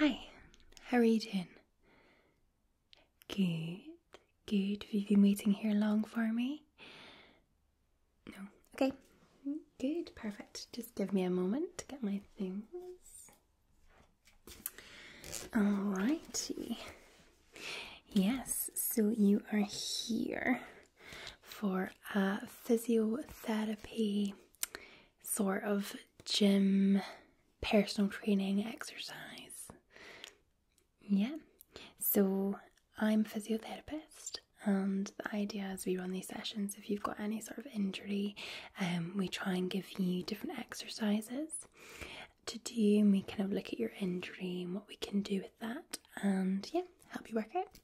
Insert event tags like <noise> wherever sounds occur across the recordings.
Hi, how are you doing? Good, good. Have you been waiting here long for me? No. Okay. Good, perfect. Just give me a moment to get my things. Alrighty. Yes, so you are here for a physiotherapy sort of gym personal training exercise. Yeah, so I'm a physiotherapist, and the idea is we run these sessions. If you've got any sort of injury, um, we try and give you different exercises to do. And we kind of look at your injury and what we can do with that, and yeah, help you work out.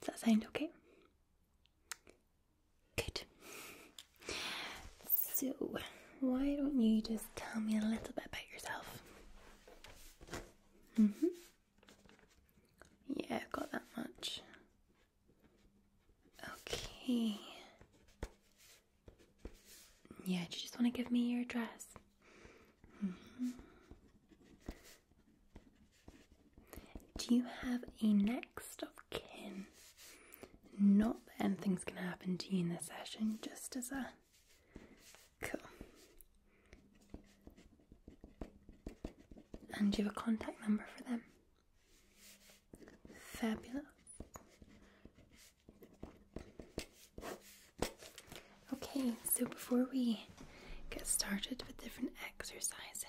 Does that sound okay? Good. So, why don't you just tell me a little bit about yourself? hmm. Yeah, I've got that much. Okay. Yeah, do you just want to give me your address? Mm-hmm. Do you have a next of kin? Not that anything's gonna happen to you in the session, just as a cool. And you have a contact number for them? Fabulous. Okay, so before we get started with different exercises,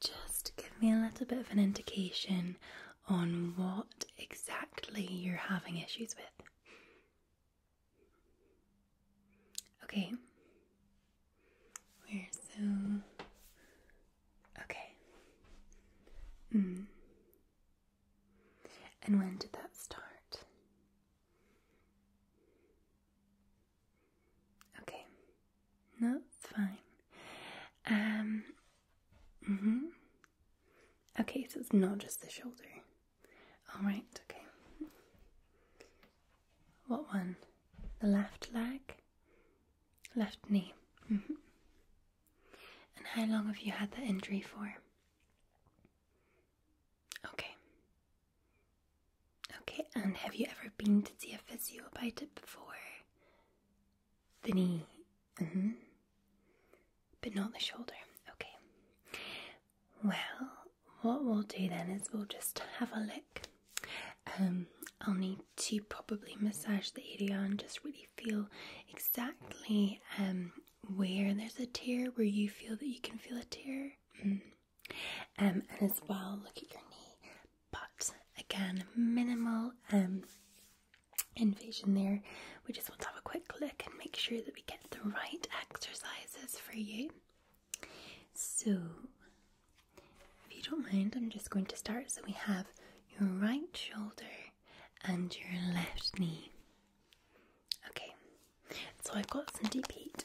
just give me a little bit of an indication on what exactly you're having issues with. Okay. Where so okay. Mm. And when did that start? Okay, no, it's fine. Um, mm-hmm. Okay, so it's not just the shoulder. All right, okay. What one? The left leg, left knee. Mm-hmm. And how long have you had that injury for? Okay. Okay, and have you ever been to see a physio about it before? The mm-hmm. knee. But not the shoulder. Okay. Well, what we'll do then is we'll just have a look. Um, I'll need to probably massage the area and just really feel exactly um, where there's a tear, where you feel that you can feel a tear. Mm. Um, and as well, look at your knee. But again, minimal um, invasion there. We just want to have a quick look and make sure that we get the right exercises for you. So, if you don't mind, I'm just going to start. So, we have your right shoulder and your left knee. Okay, so I've got some deep heat.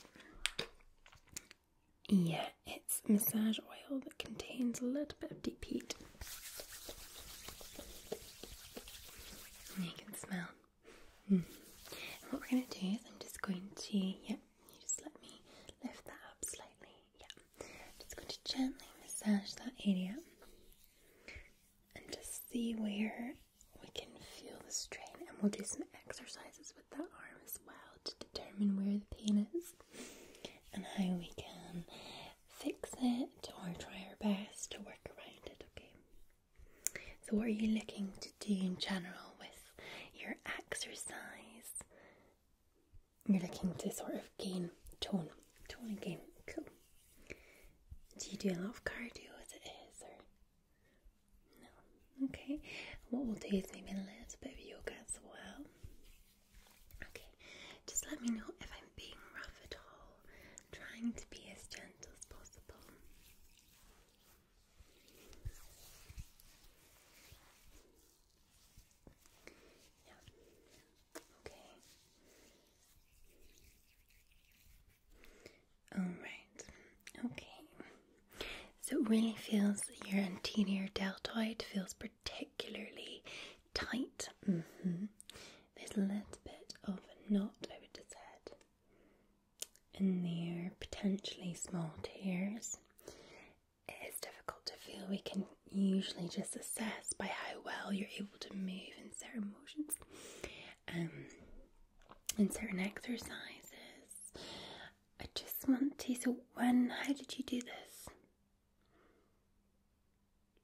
Yeah, it's massage oil that contains a little bit of deep heat. you can smell. Hmm. what we're going to do is I'm just going to, yeah, you just let me lift that up slightly. Yeah, just going to gently massage that area and just see where we can feel the strain. And we'll do some exercises with that arm as well to determine where the pain is and how we can fix it or try our best to work around it, okay? So, what are you looking to do in general with your exercise? You're looking to sort of gain tone, tone gain. Cool. Do you do a lot of cardio as it is, or no? Okay. What we'll do is maybe a little bit of yoga as well. Okay. Just let me know if I'm being rough at all. trying to be as gentle as possible. Yeah. Okay. Alright. Okay. So really feels your anterior deltoid feels particularly tight. Mm-hmm. There's a little bit of a knot, I would have said, in there, potentially small tears. It is difficult to feel. We can usually just assess by how well you're able to move in certain emotions um, and certain exercises. I just want to. So, when, how did you do this?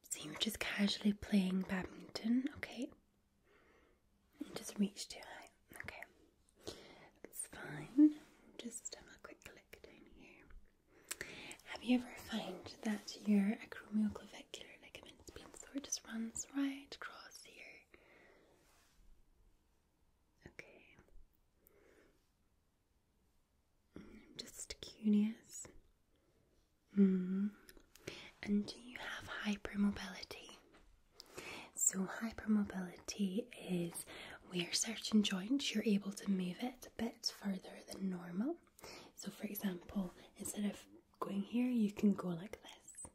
So, you are just casually playing badminton, okay? You just reached too high, okay? That's fine. Just have a quick look down here. Have you ever found that your acromioclavicular ligament? movement speed, so it just runs right across here. Okay. I'm mm, just curious. Mm. And do you have hypermobility? So, hypermobility is where certain joints you're able to move it a bit further than normal. So, for example, instead of going here, you can go like this.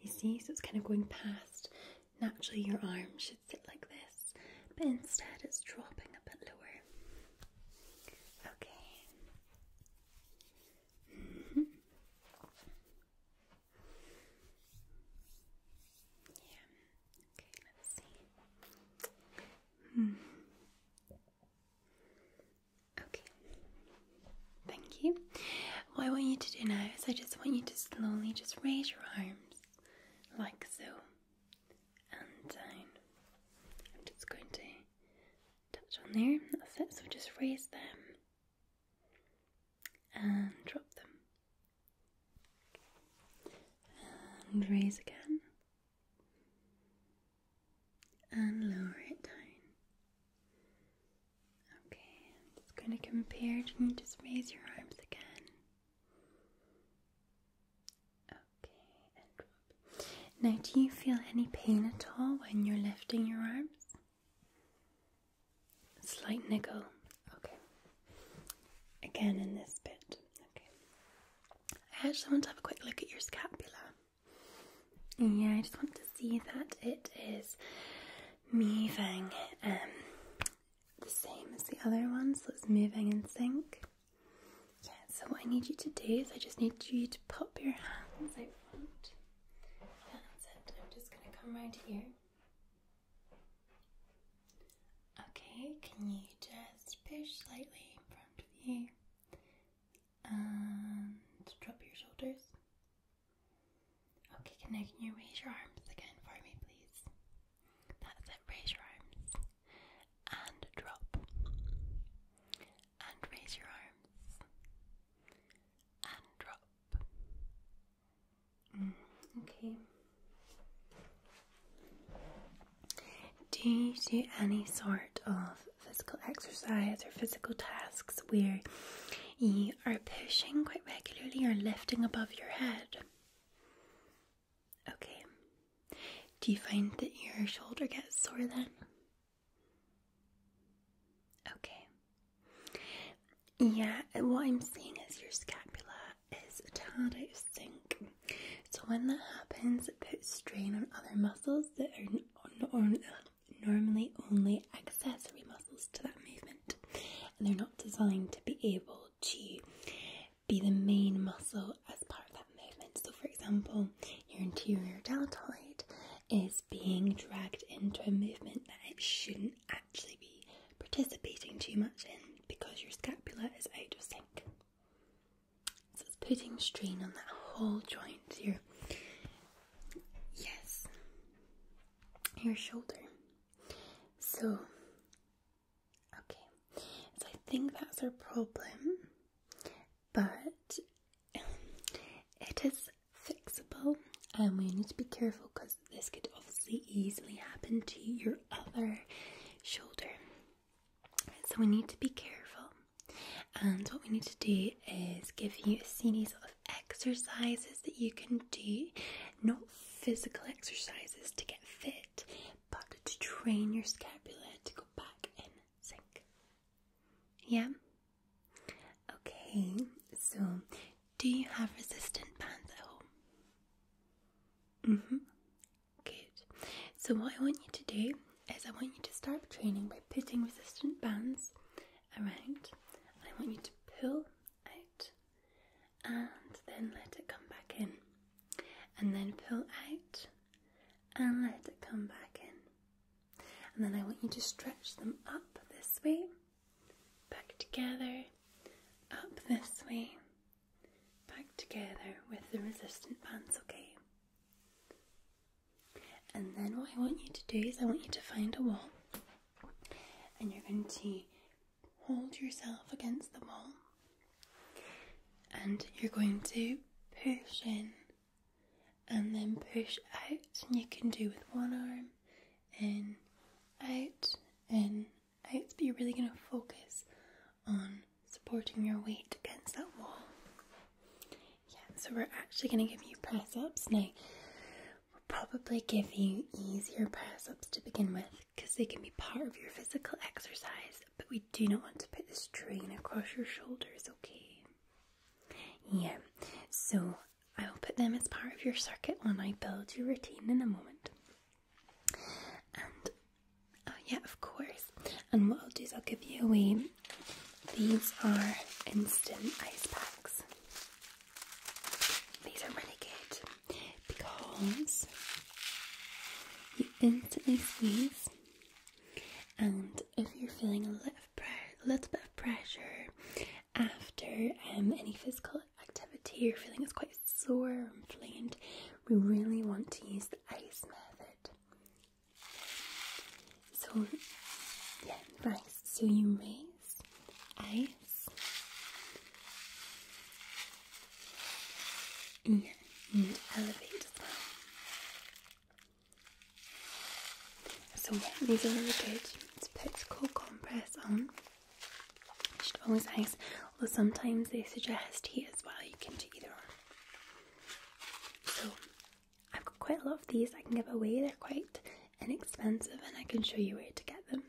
You see, so it's kind of going past. Naturally, your arm should sit like this, but instead, it's dropping a bit lower. Okay. Mm-hmm. Yeah. Okay. Let's see. Hmm. Okay. Thank you. What I want you to do now is I just want you to slowly just raise your arms like so and down. I'm just going to touch on there. That's it. So just raise them and drop them. And raise again and lower it down. Okay, i going to compare it and just raise your arms again. Okay, and drop. Now, do you feel any pain at all when you're lifting your arms? slight niggle. Okay. Again in this bit. Okay. I actually want to have a quick look at your scapula. Yeah, I just want to see that it is moving um, the same as the other one, so it's moving in sync. Yeah, so what I need you to do is I just need you to pop your hands out front. I'm just going to come right here. Okay, can you just push slightly in front of you? and um, drop your shoulders. Okay, can now can you raise your arms again for me, please? That's it. Raise your arms and drop and raise your arms and drop. Mm, okay. Do you do any sort of physical exercise or physical tasks where you are pushing quite regularly or lifting above your head? Okay. Do you find that your shoulder gets sore then? Okay. Yeah, uh, what I'm seeing is your scapula is a tad out of sync. So when that happens, it puts strain on other muscles that are normally only accessory muscles to that movement, and they're not designed to be able to be the main muscle as part of that movement. So, for example, your interior deltoid is being dragged into a movement that it shouldn't actually be participating too much in because your scapula is out of sync. So it's putting strain on that whole joint, here. yes, your shoulder. So okay, so I think that's our problem, but it is fixable, and we need to be careful because this could obviously easily happen to your other shoulder. So we need to be careful. And what we need to do is give you a series of exercises that you can do, not physical exercises to get fit, but to train your scapula to go back in sync. Yeah? Okay, so do you have resistant bands at home? Mm hmm. Good. So, what I want you to do is, I want you to start training by putting resistant bands around. and I want you to pull out and then let it come back in, and then pull out and let it come back in. And then I want you to stretch them up this way, back together, up this way, back together with the resistant bands, okay? And then what I want you to do is I want you to find a wall and you're going to hold yourself against the wall and you're going to push in and then push out and you can do with one arm in out in out but you're really going to focus on supporting your weight against that wall. Yeah, so we're actually going to give you press ups. Now, we are probably give you easier press ups to begin with because they can be part of your physical exercise, but we do not want to put this strain across your shoulders, okay? Yeah, so I'll put them as part of your circuit when I build your routine in a moment. Oh yeah, of course. And what I'll do is I'll give you a wee. These are instant ice packs. These are really good because you instantly squeeze, and if you're feeling a little, bit of pressure after um, any physical activity, you're feeling it's quite sore inflamed, we really want to use the ice method. So, yeah, right. So you raise ice, Yeah, mm, and mm, elevate as So yeah, these are really good. It's put compress on. Should always nice. Although sometimes they suggest heat as well. You can do either or. So I've got quite a lot of these I can give away. They're quite inexpensive and I can show you where to get them.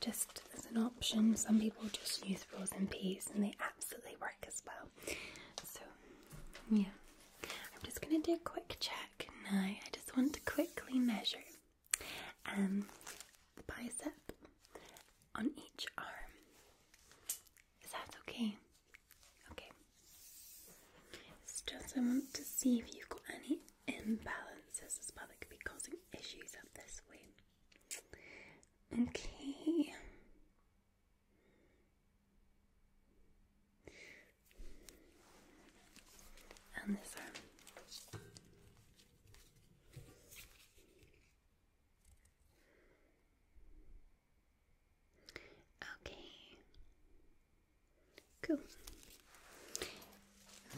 Just as an option, some people just use frozen peas and they absolutely work as well. So yeah, I'm just going to do a quick check now. I just want to quickly measure um, the bicep on each arm. Is that okay? Okay. just I want to see if you've got any imbalances as well could be causing issues up this way. Okay. And this arm. Okay. Cool.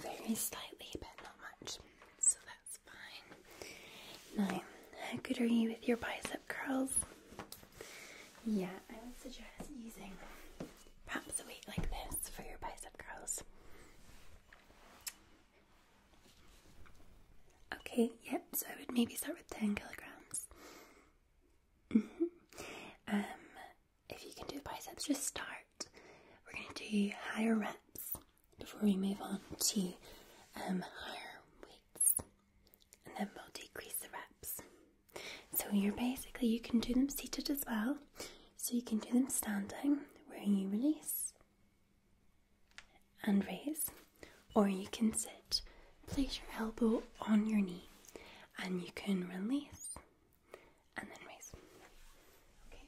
Very slightly, but not much, so that's fine. Now, how good are you with your bicep curls? Yeah, I would suggest using perhaps a weight like this for your bicep curls. Okay, yep, so I would maybe start with 10 kilograms. Mm-hmm. Um, if you can do biceps, just start. We're going to do higher reps before we move on to um, higher weights, and then we'll decrease the reps. So, you're basically, you can do them seated as well, so you can do them standing where you release and raise, or you can sit. Place your elbow on your knee and you can release and then raise. Okay.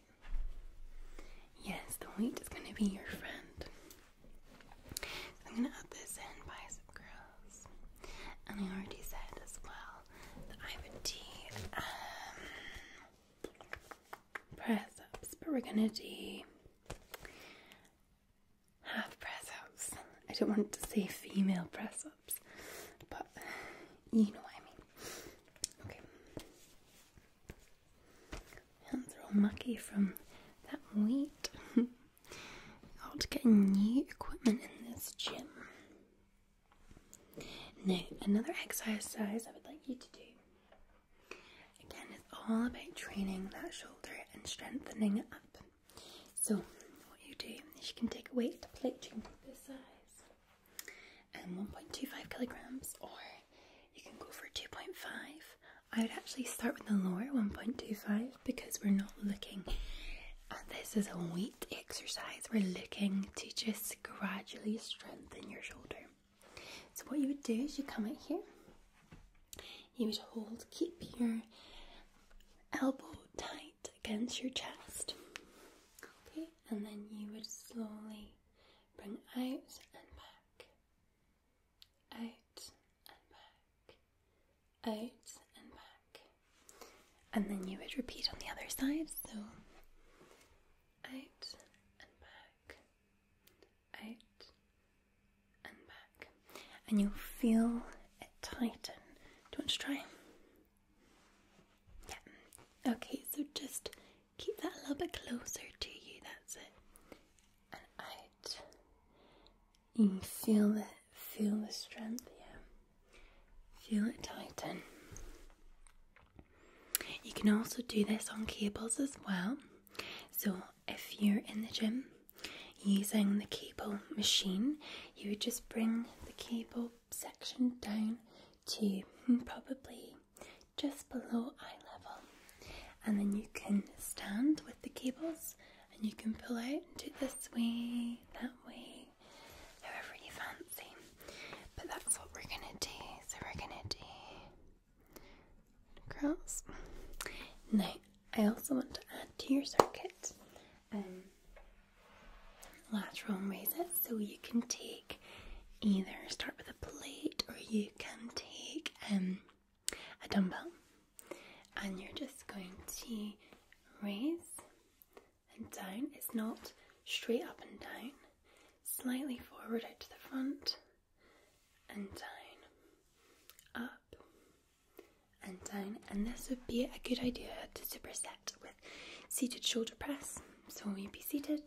Yes, the weight is going to be your friend. I'm going to add this in bicep curls. And I already said as well that I would do um, press ups, but we're going to do half press ups. I don't want to say female press ups, but you know what I mean. Okay. Hands are all mucky from that weight. Got <laughs> to get new equipment in this gym. Now, another exercise I would like you to do Again, it's all about training that shoulder and strengthening it up. So, what you do is you can take a weight, plate you can put this size, and um, 1.25 kilograms, or you can go for 2.5. I would actually start with the lower 1.25 because we're not looking at this as a weight exercise, we're looking to just gradually strengthen your shoulder. So what you would do is you come out here, you would hold, keep your elbow tight against your chest. Okay, and then you would slowly bring out and back, out and back, out and back. And then you would repeat on the other side, so out and back out and back, and you'll feel it tighten. Do you want to try? Yeah. Okay, so just keep that a little bit closer to you. That's it. And out. You feel it. Feel the strength. Yeah. Feel it tighten. You can also do this on cables as well. So, if you're in the gym using the cable machine, you would just bring the cable section down to <laughs> probably just below eye level, and then you can stand with the cables and you can pull out and do this way, that way, however you fancy. But that's what we're gonna do. So, we're gonna do Across. Now, I also want to add to your circuit um, lateral raises. so you can take either start with a plate or you can take um, a dumbbell and you're just going to raise and down. It's not straight up and down, slightly forward out to the front and down, up and down. And this would be a good idea to superset with seated shoulder press. So you'd be seated,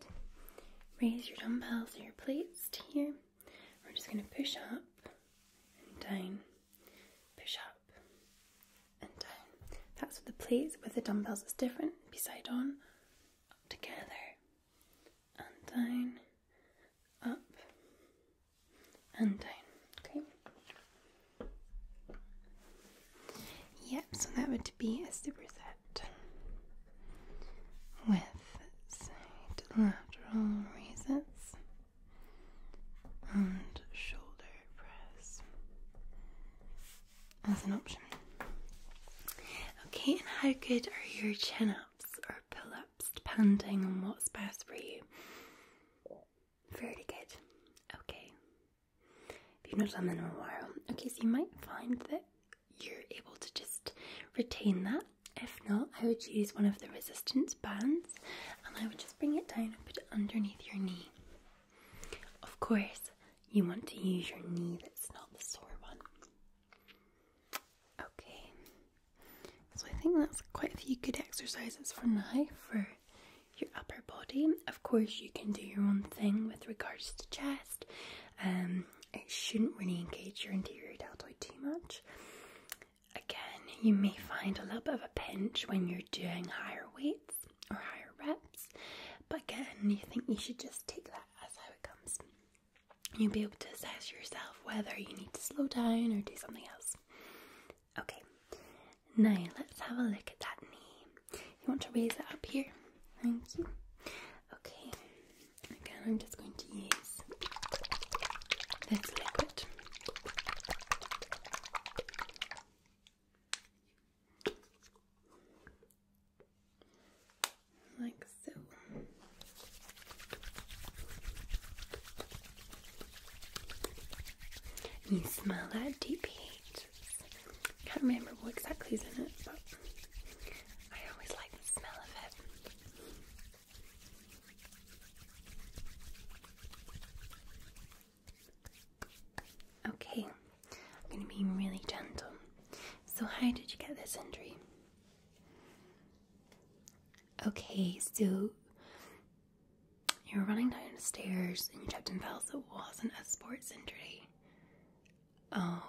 raise your dumbbells or your plates to here. We're just going to push up and down, push up and down. That's with the plates. With the dumbbells, it's different. Be side on, together, and down, up and down. Okay. Yep, so that would be a superset with lateral raises and shoulder press as an option. Okay, and how good are your chin ups? or pull ups, depending on what's best for you. Very good. Okay. If you've not done that in a while, okay, so you might find that you're able to just retain that. If not, I would use one of the resistance bands and I would just bring it down and put it underneath your knee. Of course, you want to use your knee that's not the sore one. Okay, so I think that's quite a few good exercises for now for your upper body. Of course, you can do your own thing with regards to chest. Um, it shouldn't really engage your anterior deltoid too much. Again, you may find a little bit of a pinch when you're doing higher weights or higher reps, but again, you think you should just take that as how it comes. You'll be able to assess yourself whether you need to slow down or do something else. Okay, now let's have a look at that knee. You want to raise it up here? Thank you. Okay, again, I'm just going to use this liquid like so. You smell that deep heat. Can't remember what exactly is in it, but I always like the smell of it. Okay, I'm going to be really gentle. So, how did you get this injury? Okay, so you were running down the stairs and you tripped and fell, so it wasn't a sports injury.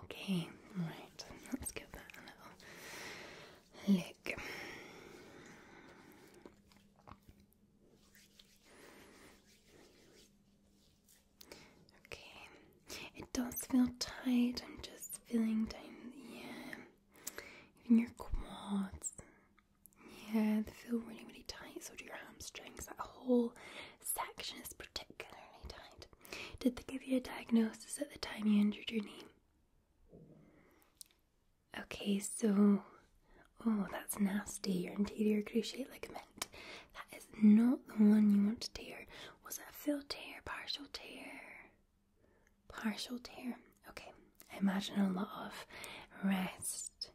Okay, right. Let's give that a look. Okay, it does feel tight. I'm just feeling down, yeah, even your quads. Yeah, they feel really, really tight. So do your hamstrings. That whole section is particularly tight. Did they give you a diagnosis at the time you injured your knee? Okay, so oh, that's nasty. Your anterior cruciate ligament. That is not the one you want to tear. Was that full tear, partial tear? Partial tear. Okay, imagine a lot of rest.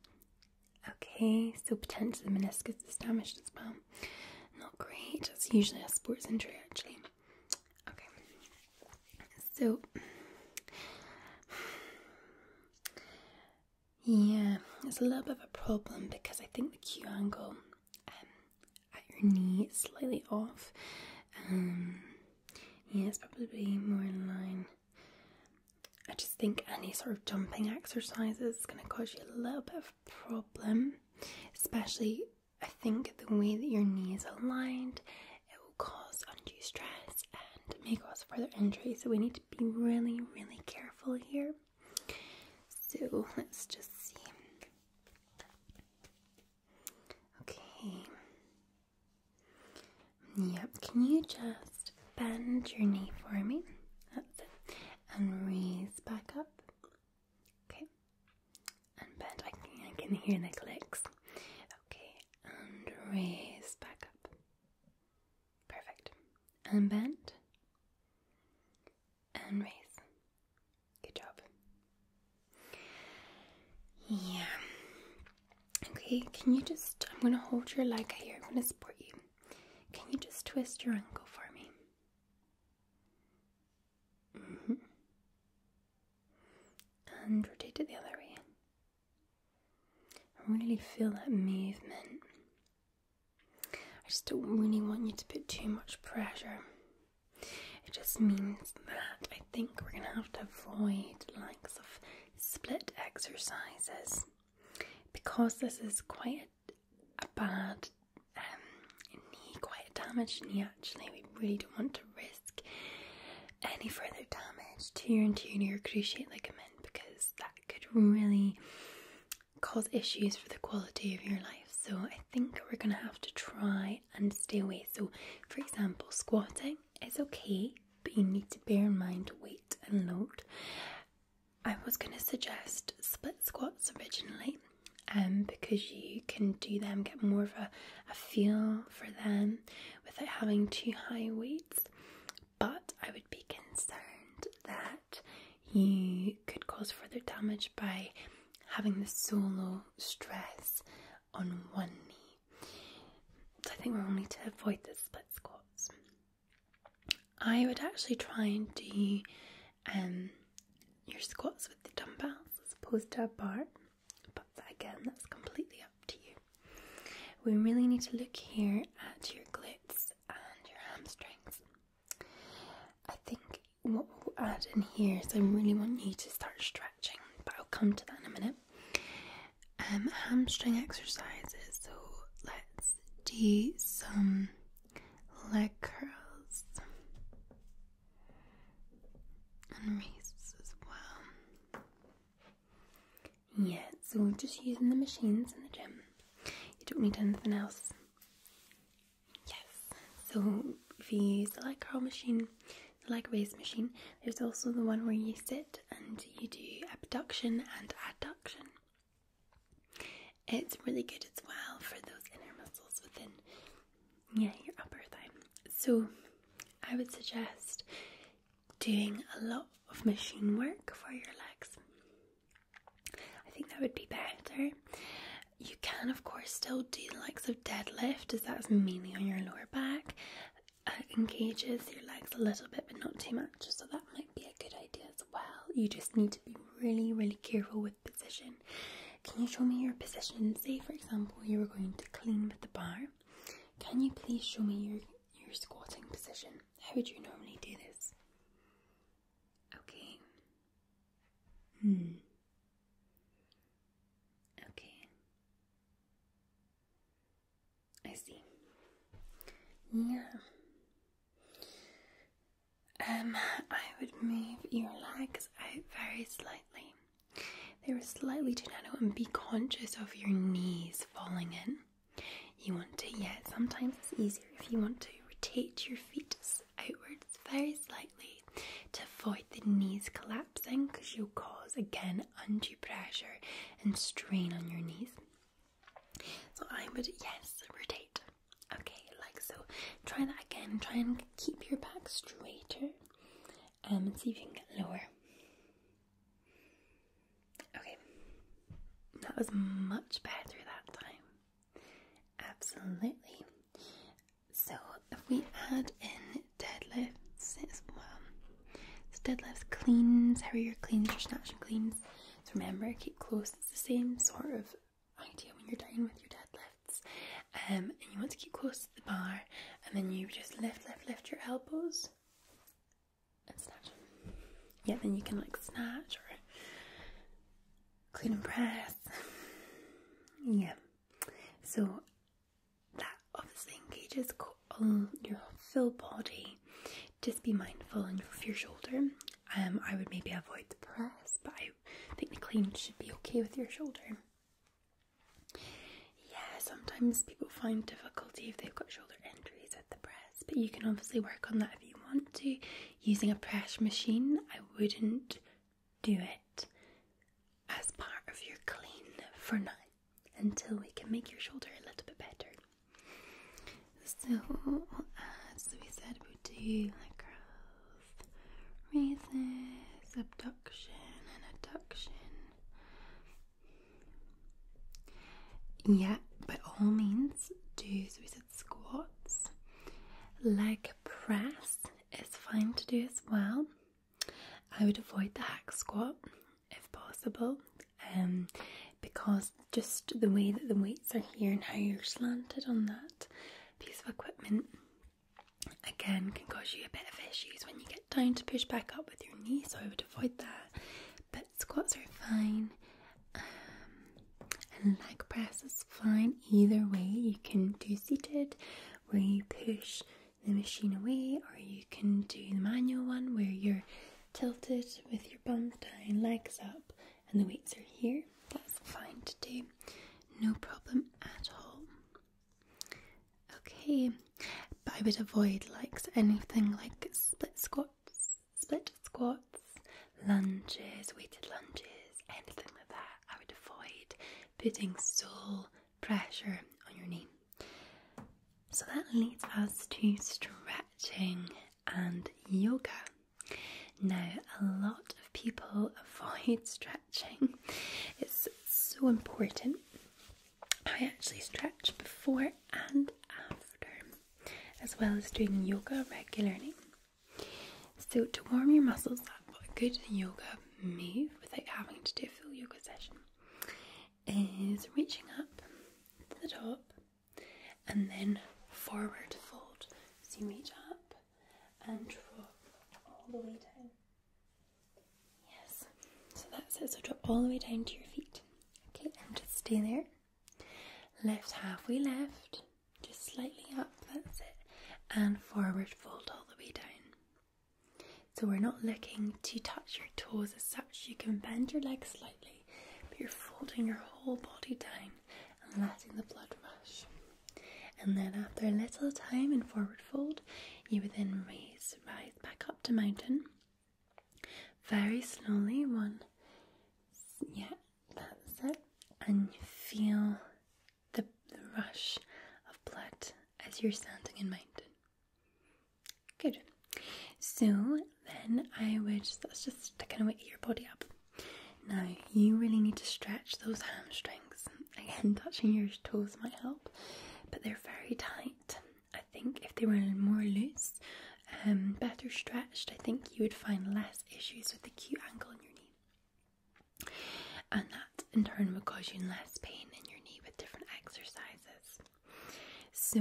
Okay, so potentially the meniscus is damaged as well. Not great. That's usually a sports injury, actually. Okay, so <sighs> yeah, it's a little bit of a problem because I think the Q angle um, at your knee slightly off. Um, yeah, it's probably more in line. I just think any sort of jumping exercises is going to cause you a little bit of problem, especially I think the way that your knee is aligned, it will cause undue stress and may cause further injury. So we need to be really, really careful here. So let's just see. Okay. Yep, can you just bend your knee for me? And raise back up. Okay. And bend. I can, I can hear the clicks. Okay. And raise back up. Perfect. And bend. And raise. Good job. Yeah. Okay, can you just. I'm gonna hold your leg here, I'm gonna support you. Can you just twist your ankle for me? Mm-hmm. And rotate it the other way. I really feel that movement. I just don't really want you to put too much pressure. It just means that I think we're going to have to avoid likes of split exercises because this is quite a bad um, knee, quite a damaged knee actually. We really don't want to risk any further damage to your anterior cruciate ligament because that could really cause issues for the quality of your life. So I think we're going to have to try and stay away. So, for example, squatting is okay, but you need to bear in mind weight and load. I was going to suggest split squats originally. Um, because you can do them, get more of a, a feel for them without having too high weights. But I would be concerned that you could cause further damage by having the solo stress on one knee. So I think we are only to avoid the split squats. I would actually try and do um, your squats with the dumbbells as opposed to a bar, but again, that's completely up to you. We really need to look here at your glutes and your hamstrings. I think what we'll add in here is I really want you to start stretching, but I'll come to that in a minute. And um, hamstring exercises, so let's do some leg curls and raises as well. Yeah, so we're just using the machines in the gym, you don't need anything else. Yes. So if you use the light curl machine, the light raise machine, there's also the one where you sit and you do abduction and adduction. It's really good as well for those inner muscles within yeah, your upper thigh. So I would suggest doing a lot of machine work for your legs. I think that would be better. You can, of course, still do the likes of deadlift, as that's mainly on your lower back. Uh, engages your legs a little bit, but not too much, so that might be a good idea as well. You just need to be really, really careful with position. Can you show me your position? Say, for example, you were going to clean with the bar. Can you please show me your, your squatting position? How would you normally do this? Okay, Hmm. Okay. I see. Yeah. Um, I would move your legs out very slightly. They were slightly too narrow, and be conscious of your knees falling in you want to, yeah, sometimes it's easier if you want to rotate your feet outwards very slightly to avoid the knees collapsing because you'll cause again undue pressure and strain on your knees. So I would, yes, rotate. Okay, like so. Try that again. Try and keep your back straighter um, and see if you can get lower. Okay, that was much better that time. Absolutely. So we add in deadlifts as well. So deadlifts, cleans, how are your cleans, your snatch and cleans. So remember, keep close. It's the same sort of idea when you're doing with your deadlifts. Um, and you want to keep close to the bar, and then you just lift, lift, lift your elbows, and snatch. Yeah, then you can like snatch or clean and press. yeah. So that obviously engages all um, your full body. Just be mindful and of your shoulder. Um, I would maybe avoid the press, but I think the clean should be okay with your shoulder. Yeah, sometimes people find difficulty if they've got shoulder injuries at the press but you can obviously work on that if you want to. Using a press machine, I wouldn't do it as part of your clean for now until we can make your shoulder a little bit better. So, as we said, do like growth, raises, abduction, and adduction. Yeah, by all means, do squats. Leg press is fine to do as well. I would avoid the hack squat if possible, um, because just the way that the weights are here and how you're slanted on that piece of equipment again can cause you a bit of issues when you get down to push back up with your knee, so I would avoid that. But squats are fine. Um, leg press is fine either way. You can do seated where you push the machine away, or you can do the manual one where you're tilted with your bum down, legs up, and the weights are here. That's fine to do, no problem at all. Okay, but I would avoid like anything like split squats split squats, lunges, weighted lunges, anything like that. I would avoid putting sole pressure on your knee. So that leads us to stretching and yoga. Now, a lot of people <laughs> avoid stretching. It's so important. I actually stretch before and after as well as doing yoga regularly. So, to warm your muscles up, a good yoga move without having to do a full yoga session is reaching up to the top and then forward fold. So, you reach up and drop all the way down. Yes, so that's it. So, drop all the way down to your feet. Okay, and just stay there. Lift halfway left, just slightly up, that's it, and forward fold all the way down. So we're not looking to touch your toes as such. You can bend your legs slightly, but you're folding your whole body down and letting the blood rush. And then after a little time in forward fold, you would then raise, rise back up to mountain. Very slowly, one, yeah, and feel the, rush of blood as you're standing in mountain. Good. So then I would, that's just to kind of wake your body up. Now you really need to stretch those hamstrings. <laughs> Again, touching your toes might help, but they're very tight. I think if they were more loose, um, better stretched, I think you would find less issues with the cute angle in your knee. And that in turn would cause you less pain in your knee with different exercises. So,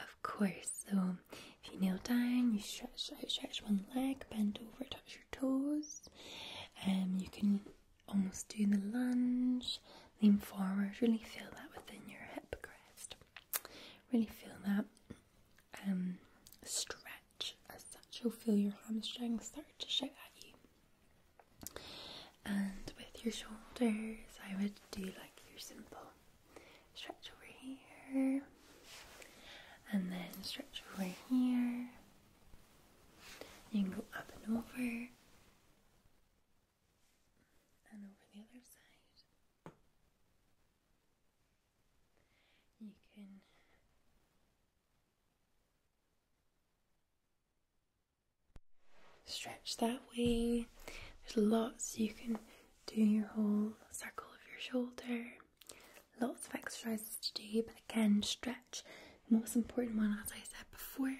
of course, so if you kneel down, you stretch out, stretch one leg, bend over, touch your toes. and um, you can almost do the lunge, lean forward, really feel that within your hip crest. Really feel that. And um, stretch as such. You'll feel your hamstrings start to shout at you. And with your shoulders, I would do like your simple stretch over here, and then stretch over here. You go up and over. And over the other side. You can stretch that way. There's lots you can do your whole circle of your shoulder. Lots of exercises to do, but again, stretch. The most important one, as I said before,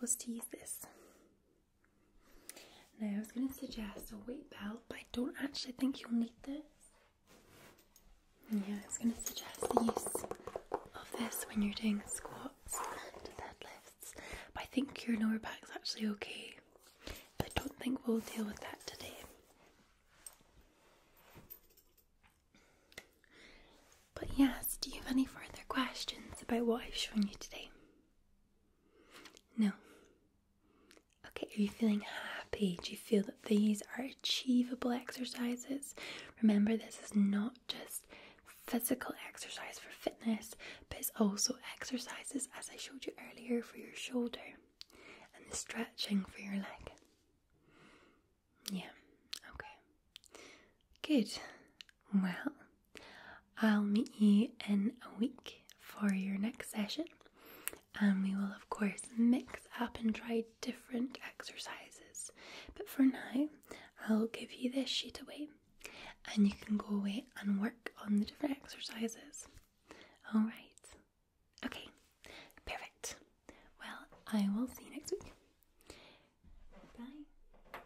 was to use this. Now, I was going to suggest a weight belt, but I don't actually think you'll need this. Yeah, I was going to suggest the use of this when you're doing squats and deadlifts, but I think your lower back's actually okay. I don't think we'll deal with that today. But yes, do you have any further questions about what I've shown you today? No. Okay, are you feeling happy? Do you feel that these are achievable exercises? Remember, this is not just physical exercise for fitness, but it's also exercises, as I showed you earlier, for your shoulder and the stretching for your leg. Yeah, okay. Good. Well, I'll meet you in a week for your next session, and we will, of course, mix up and try different exercises. But for now, I'll give you this sheet away, and you can go away and work on the different exercises. All right. Okay, perfect. Well, I will see you next week. Bye.